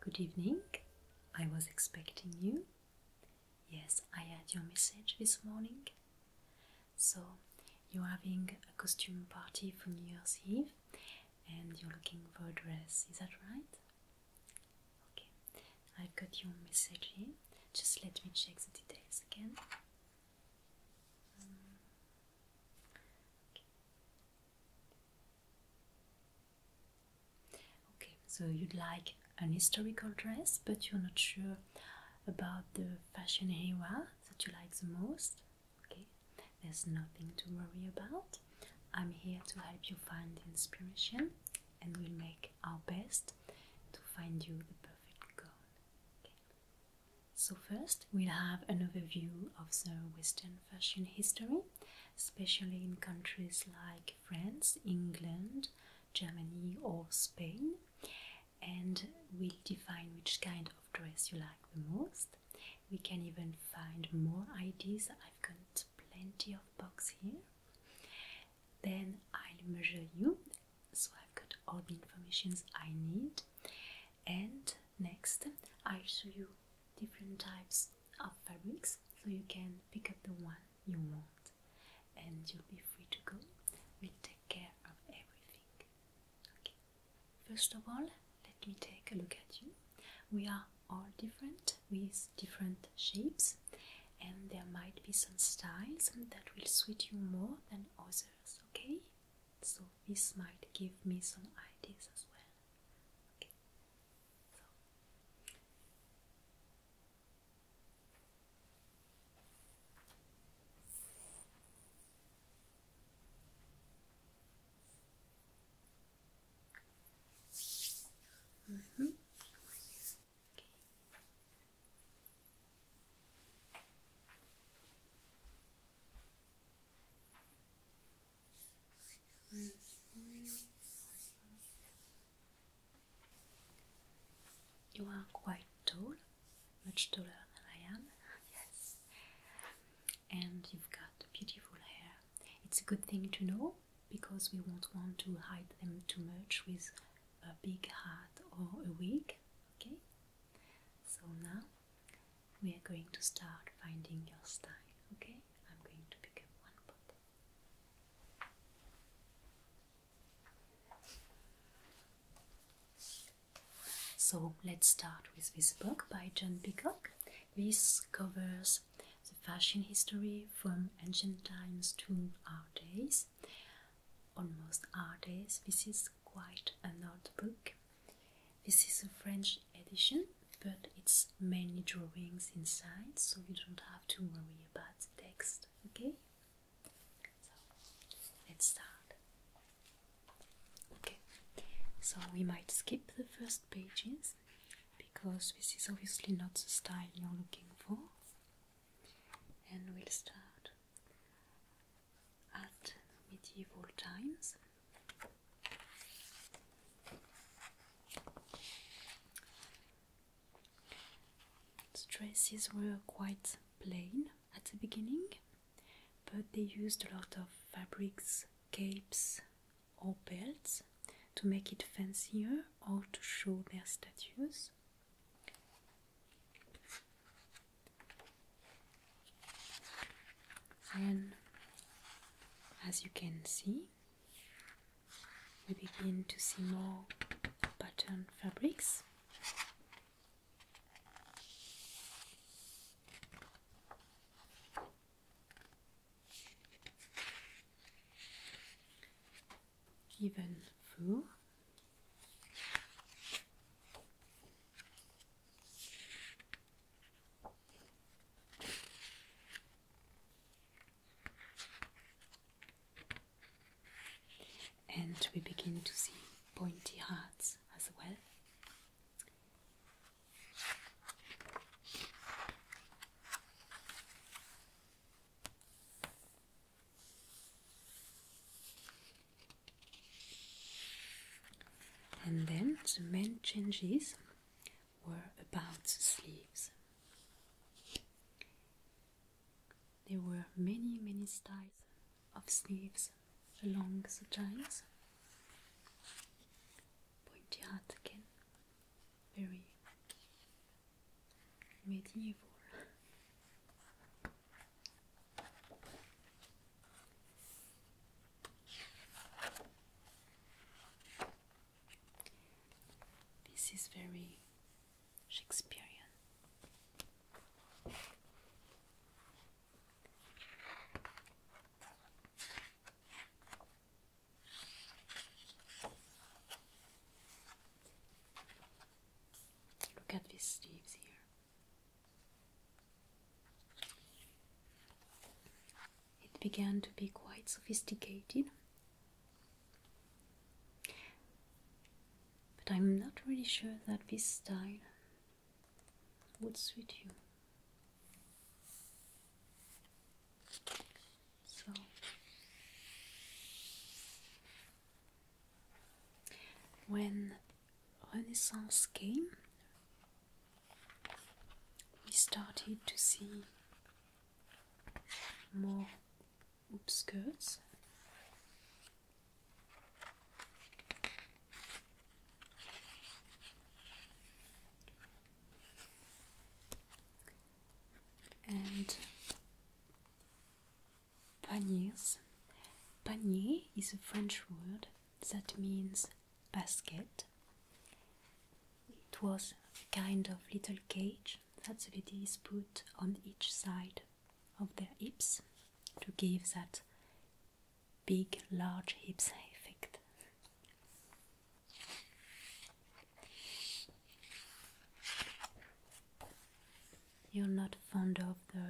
Good evening. I was expecting you. Yes, I had your message this morning. So, you're having a costume party for New Year's Eve and you're looking for a dress, is that right? Okay, i got your message Just let me check the details again. Um, okay. okay, so you'd like an historical dress, but you're not sure about the fashion era that you like the most. Okay, there's nothing to worry about. I'm here to help you find inspiration and we'll make our best to find you the perfect gown. So first we'll have an overview of the Western fashion history, especially in countries like France, England, Germany or Spain and we'll define which kind of dress you like the most. We can even find more ideas, I've got plenty of box here then I'll measure you so I've got all the informations I need and next I'll show you different types of fabrics so you can pick up the one you want and you'll be free to go. We'll take care of everything. Okay. First of all, let me take a look at you. We are all different with different shapes and there might be some styles that will suit you more than others, okay? So this might give me some ideas as well. Okay. So. Mm-hmm. You are quite tall, much taller than I am, yes. And you've got beautiful hair. It's a good thing to know because we won't want to hide them too much with a big hat or a wig. Okay, so now we are going to start finding your style. Okay, I'm going to pick up one bottle. So let's start with this book by John Peacock. This covers the fashion history from ancient times to our days almost artist. This is quite an old book. This is a French edition, but it's mainly drawings inside, so you don't have to worry about the text, okay? let's start. Okay, so we might skip the first pages because this is obviously not the style you're looking for and we'll start at medieval times. The dresses were quite plain at the beginning, but they used a lot of fabrics, capes, or belts to make it fancier or to show their status this. as you can see, we begin to see more pattern fabrics even through. And we begin to see pointy hearts as well. And then the main changes were about the sleeves. There were many, many styles of sleeves along the giants. Pointy hat again, very medieval. This is very Shakespearean. Look at these sleeves here. It began to be quite sophisticated. But I'm not really sure that this style would suit you. So when Renaissance came, we started to see more upskirts. And Paniers. Panier is a French word that means basket. It was a kind of little cage that the ladies put on each side of their hips to give that big, large hips effect. You're not fond of the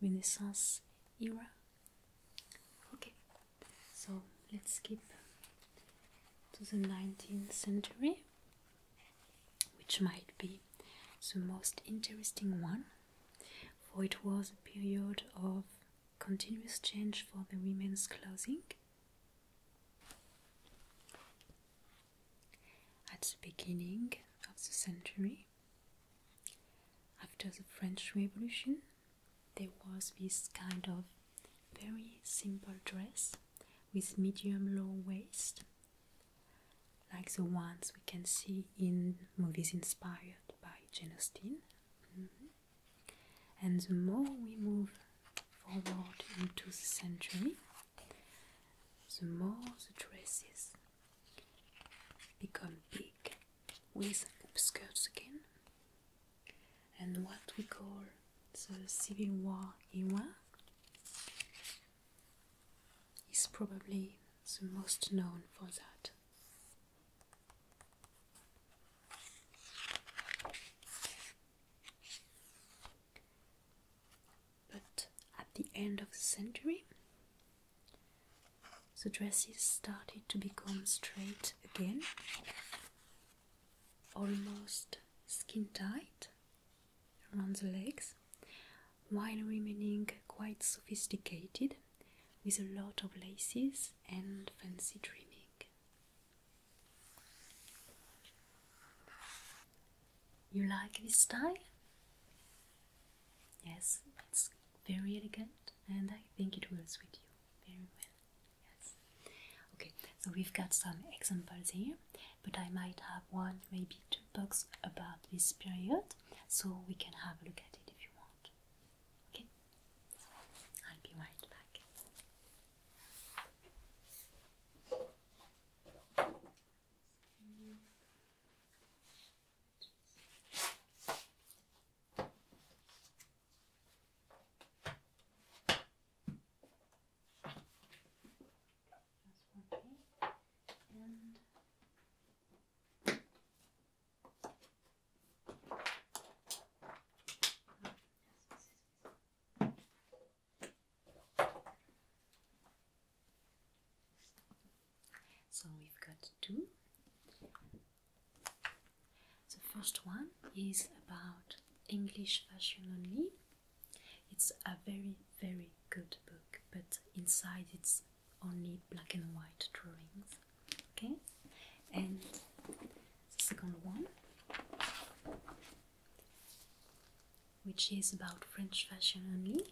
Renaissance era. Okay, so let's skip to the 19th century, which might be the most interesting one, for it was a period of continuous change for the women's clothing. At the beginning of the century, after the French Revolution, there was this kind of very simple dress with medium low waist, like the ones we can see in movies inspired by Jane Austen. Mm-hmm. And the more we move forward into the century, the more the dresses become big with skirts again and what we call the Civil War era is probably the most known for that but at the end of the century, the dresses started to become straight again, almost skin tight around the legs, while remaining quite sophisticated with a lot of laces and fancy trimming. You like this style? Yes, it's very elegant and I think it works with you very well. Yes. Okay, so we've got some examples here, but I might have one, maybe two books about this period, so we can have a look at it if you want. Okay? I'll be right back. That's working. And Oh, yes, yes, yes. So we've got two. The first one is about English fashion only. It's a very, very good book, but inside it's only black and white drawings. Okay, and the second one, which is about French fashion only.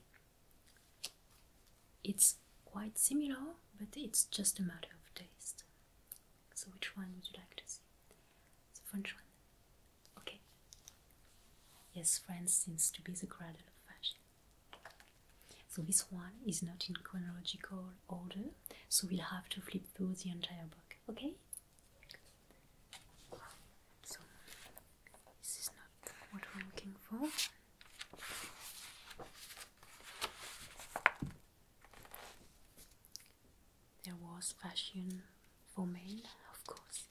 It's quite similar, but it's just a matter of taste. So, which one would you like to see? The French one? Okay. Yes, France seems to be the cradle of fashion. So, this one is not in chronological order, so we'll have to flip through the entire book, okay? So, this is not what we're looking for. There was fashion for men, of course.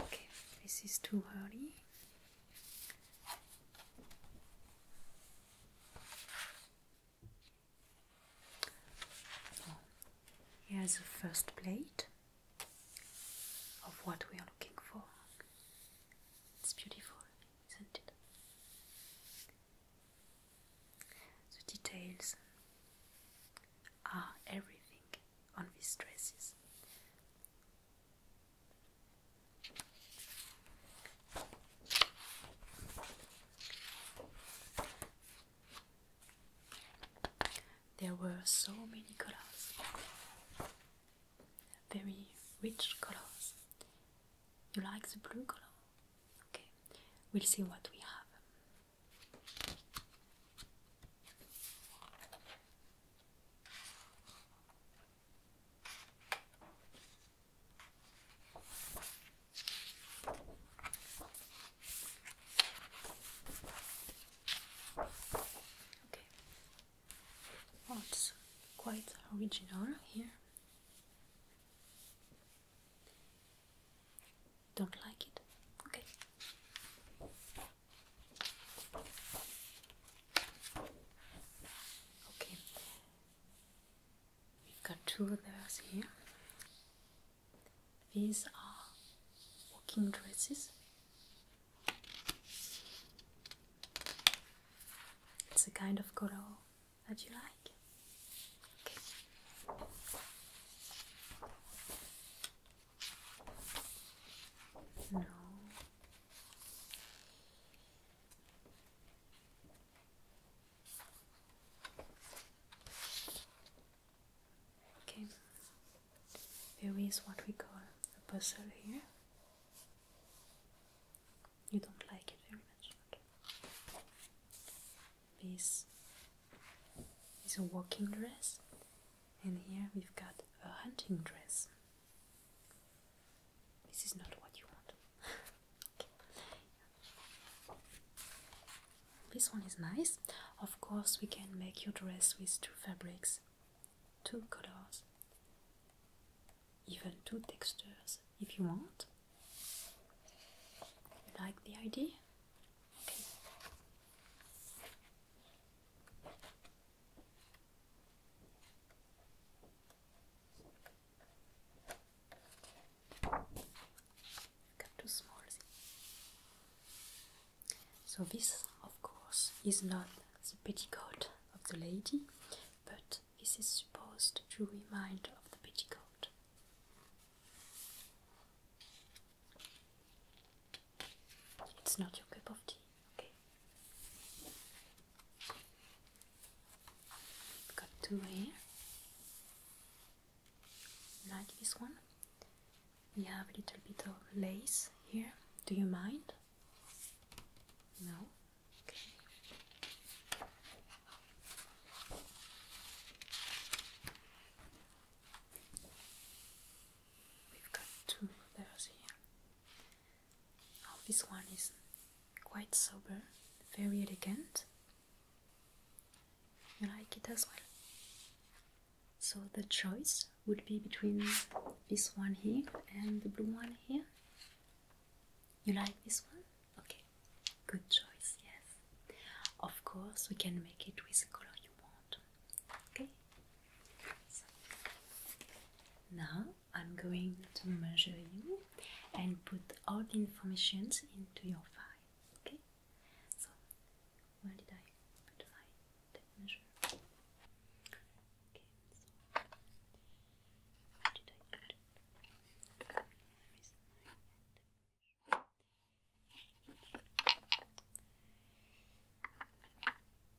Okay, this is too early here's the first plate of what we are looking for. It's beautiful, isn't it? The details are everything on these dresses. There were so many colors, very rich colors. You like the blue color? Okay, we'll see what we have. Okay. Well, it's quite original here. Don't like it? Okay. Okay, we've got two of those here. These are walking dresses. It's a kind of color that you like. No, Okay, there is what we call a puzzle here. You don't like it very much. Okay. This is a walking dress, and here we've got a hunting dress. This is not what you want. This one is nice. Of course, we can make your dress with two fabrics, two colors, even two textures if you want. You like the idea? So this, of course, is not the petticoat of the lady, but this is supposed to remind of the petticoat. It's not your cup of tea. Okay. We've got two here. Like this one. We have a little bit of lace here. Do you mind? No. Okay. We've got two of here. Oh, this one is quite sober, very elegant. You like it as well. So the choice would be between this one here and the blue one here. You like this one? Okay, good choice, yes. Of course, we can make it with the color you want. Okay? now I'm going to measure you and put all the information into your file. Okay? So, where did I put my tape measure? Okay, so where did I put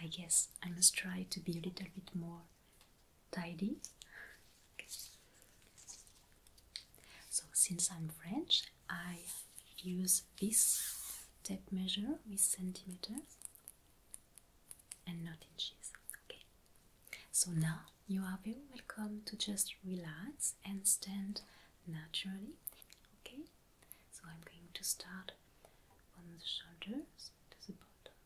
I guess I must try to be a little bit more tidy so, since I'm French, I use this tape measure with centimeters and not inches. Okay, so now you are very welcome to just relax and stand naturally. Okay, so I'm going to start from the shoulders to the bottom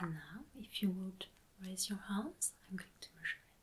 now, if you would raise your hands, I'm going to measure it.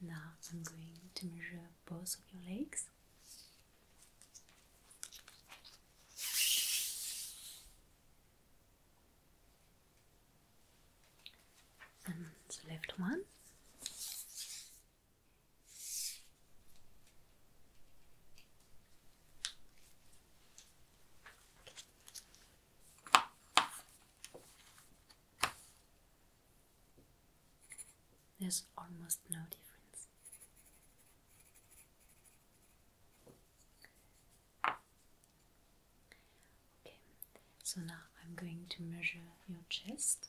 Now I'm going to measure both of your legs. And the left one. There's almost no difference. Okay, so now I'm going to measure your chest.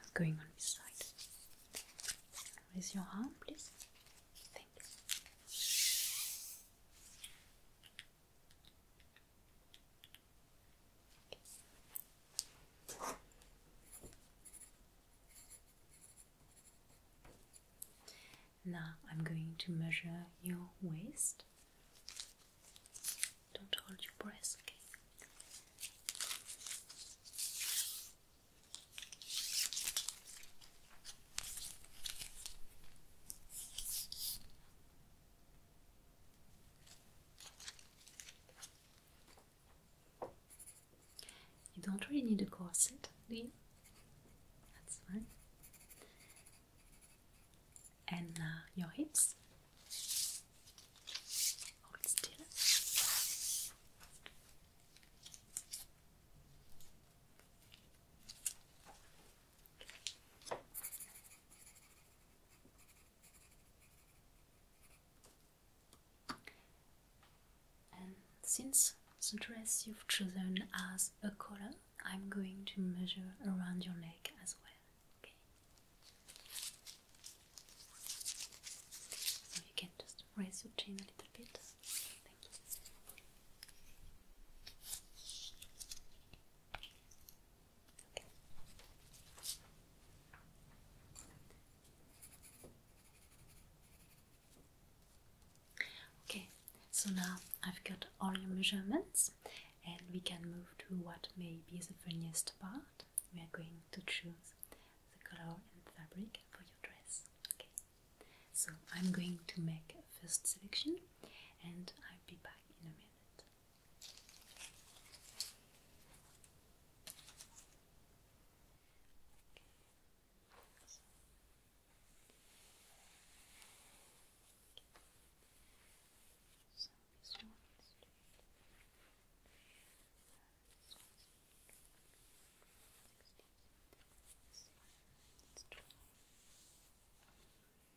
I'm going on this side. Raise your arm, please. Thank you. Now I'm going to measure your waist. Don't hold your breath, you don't really need a corset, do you? That's fine. And uh, your hips. Oh, still. And since the dress you've chosen has a collar, I'm going to measure around your neck as well. So you can just raise your chin a little bit. Okay. so now I've got all your measurements, and we can move to what may be the funniest part. We are going to choose the color and fabric for your dress. Okay, so I'm going to make a first selection, and I'll be back in a minute. So this one is straight. This one is Sixteen. This one is twelve. This one is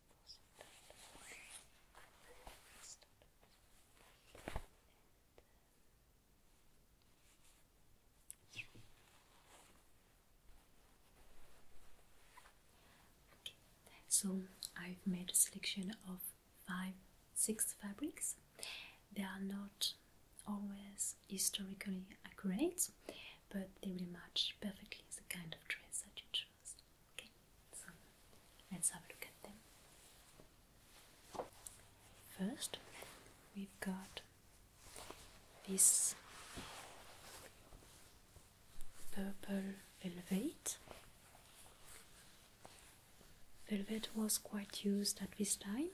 Okay, so I've made a selection of five, six fabrics. They are not always historically accurate, but they will match perfectly the kind of dress that you choose. Okay, so let's have a look at them. First, we've got this purple velvet. Velvet was quite used at this time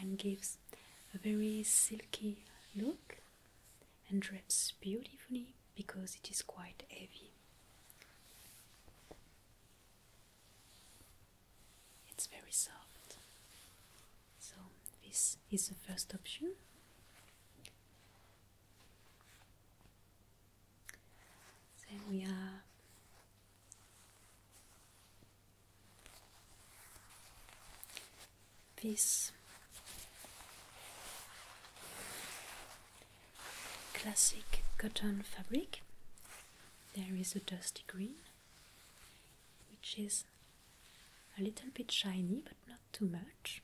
and gives a very silky look and drapes beautifully because it is quite heavy. It's very soft. So, this is the first option. Then we have this classic cotton fabric. There is a dusty green, which is a little bit shiny but not too much.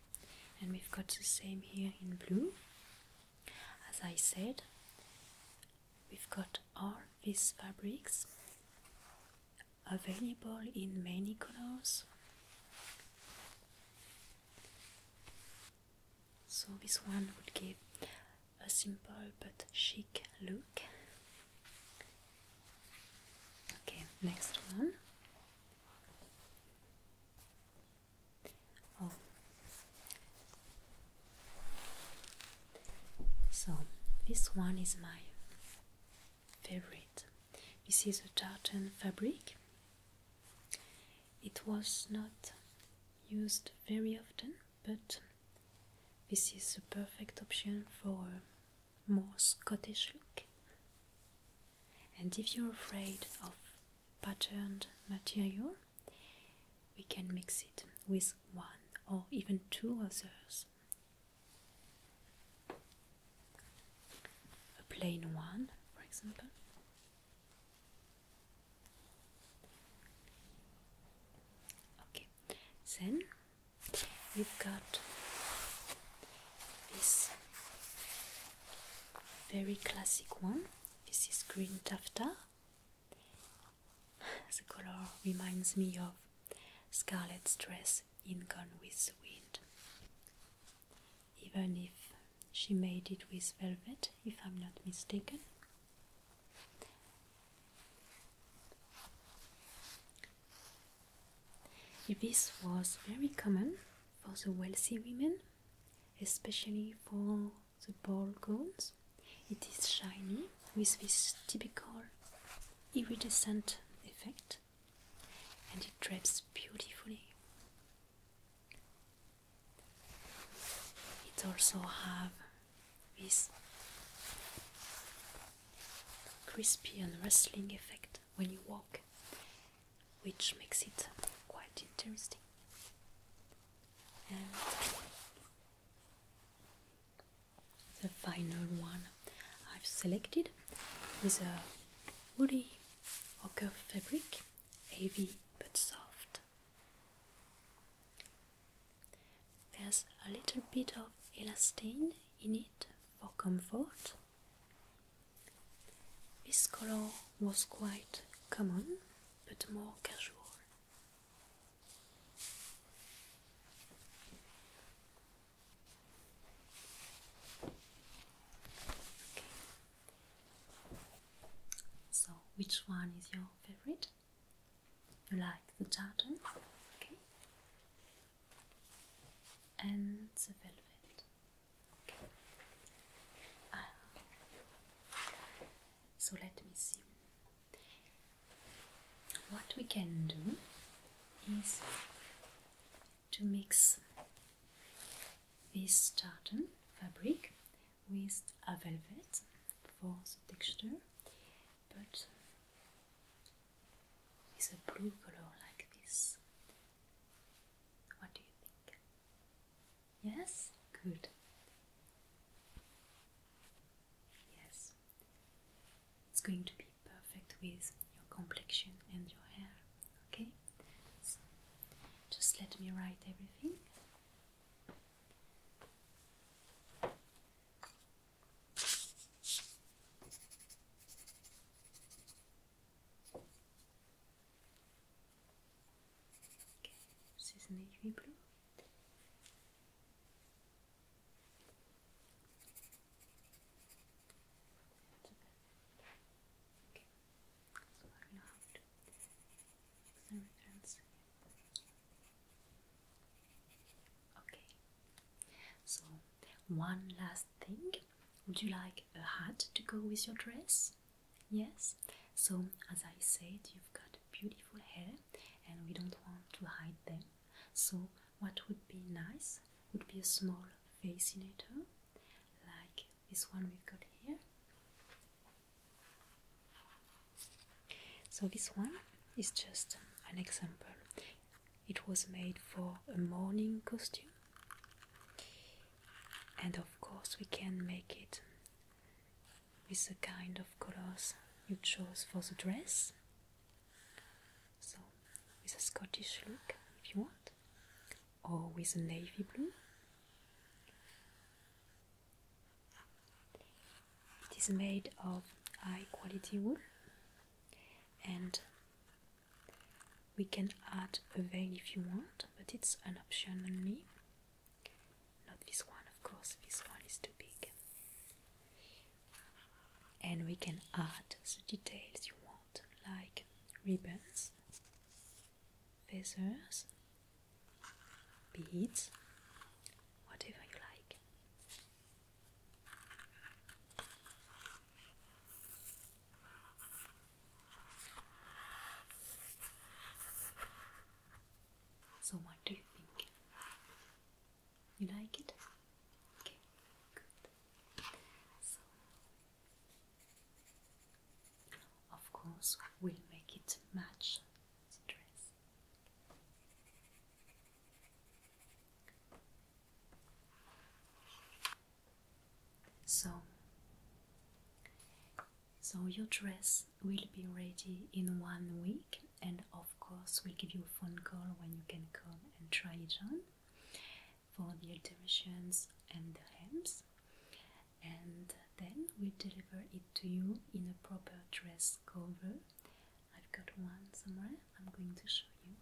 And we've got the same here in blue. As I said, we've got all these fabrics available in many colors so this one would give a simple but chic look. Okay, next one. Oh. So this one is my favorite. This is a tartan fabric it was not used very often, but this is a perfect option for a more Scottish look. And if you're afraid of patterned material, we can mix it with one or even two others. A plain one, for example. Okay, then we've got this very classic one. This is green taffeta. The color reminds me of Scarlet's dress in Gone with the Wind even if she made it with velvet, if I'm not mistaken. This was very common for the wealthy women, especially for the ball gowns. It is shiny with this typical iridescent effect and it drapes beautifully. It also have this crispy and rustling effect when you walk, which makes it quite interesting. the final one I've selected is a woody ochre fabric heavy but soft. There's a little bit of elastane in it for comfort. This color was quite common but more casual. So, which one is your favorite? You like the tartan? Okay. And the velvet. Okay. Ah. so, let me see. What we can do is to mix this tartan fabric with a velvet for the texture, but with a blue color like this. What do you think? Yes? Good. Yes. It's going to be perfect with your complexion and your hair, okay? just let me write everything. Okay, is an navy Okay. So one last thing. Would you like a hat to go with your dress? Yes. So as I said, you've got beautiful hair and we don't want to hide them. So what would be nice would be a small fascinator like this one we've got here. So this one is just an example. It was made for a morning costume. And of course we can make it with the kind of colors you chose for the dress. So with a Scottish look if you want or with a navy blue. It is made of high quality wool and we can add a veil if you want, but it's an option only. Not this one, of course, this one is too big. And we can add the details you want, like ribbons feathers, beads, whatever you like. So, what do you think? You like it? Okay, good. So, of course, we'll make it match the dress. So, so your dress will be ready in one week, and of course, we'll give you a phone call when you can come and try it on for the alterations and the hems and then we deliver it to you in a proper dress cover. I've got one somewhere, I'm going to show you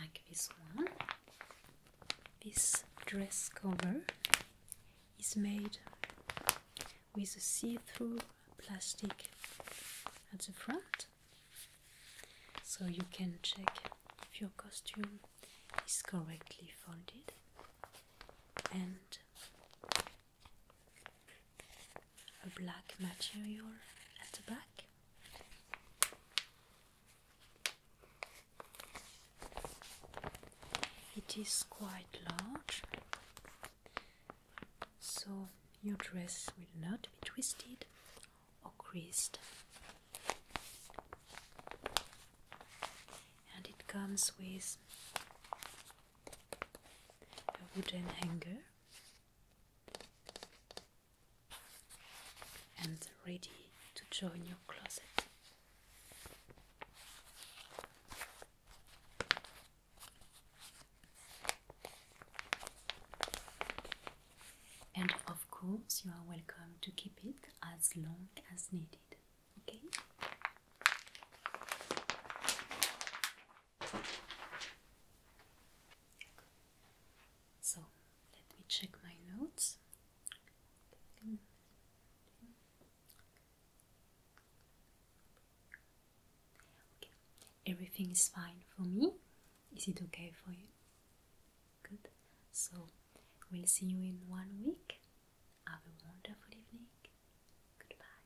like this one, this dress cover is made with a see-through plastic at the front, so you can check if your costume is correctly folded and a black material at the back. It is quite large, so your dress will not be twisted or creased. And it comes with a wooden hanger and ready to join your closet. And of course, you are welcome to keep it as long as needed. Okay? So let me check my notes. Everything is fine for me. Is it okay for you? Good. So we'll see you in one week. Have a wonderful evening. Goodbye.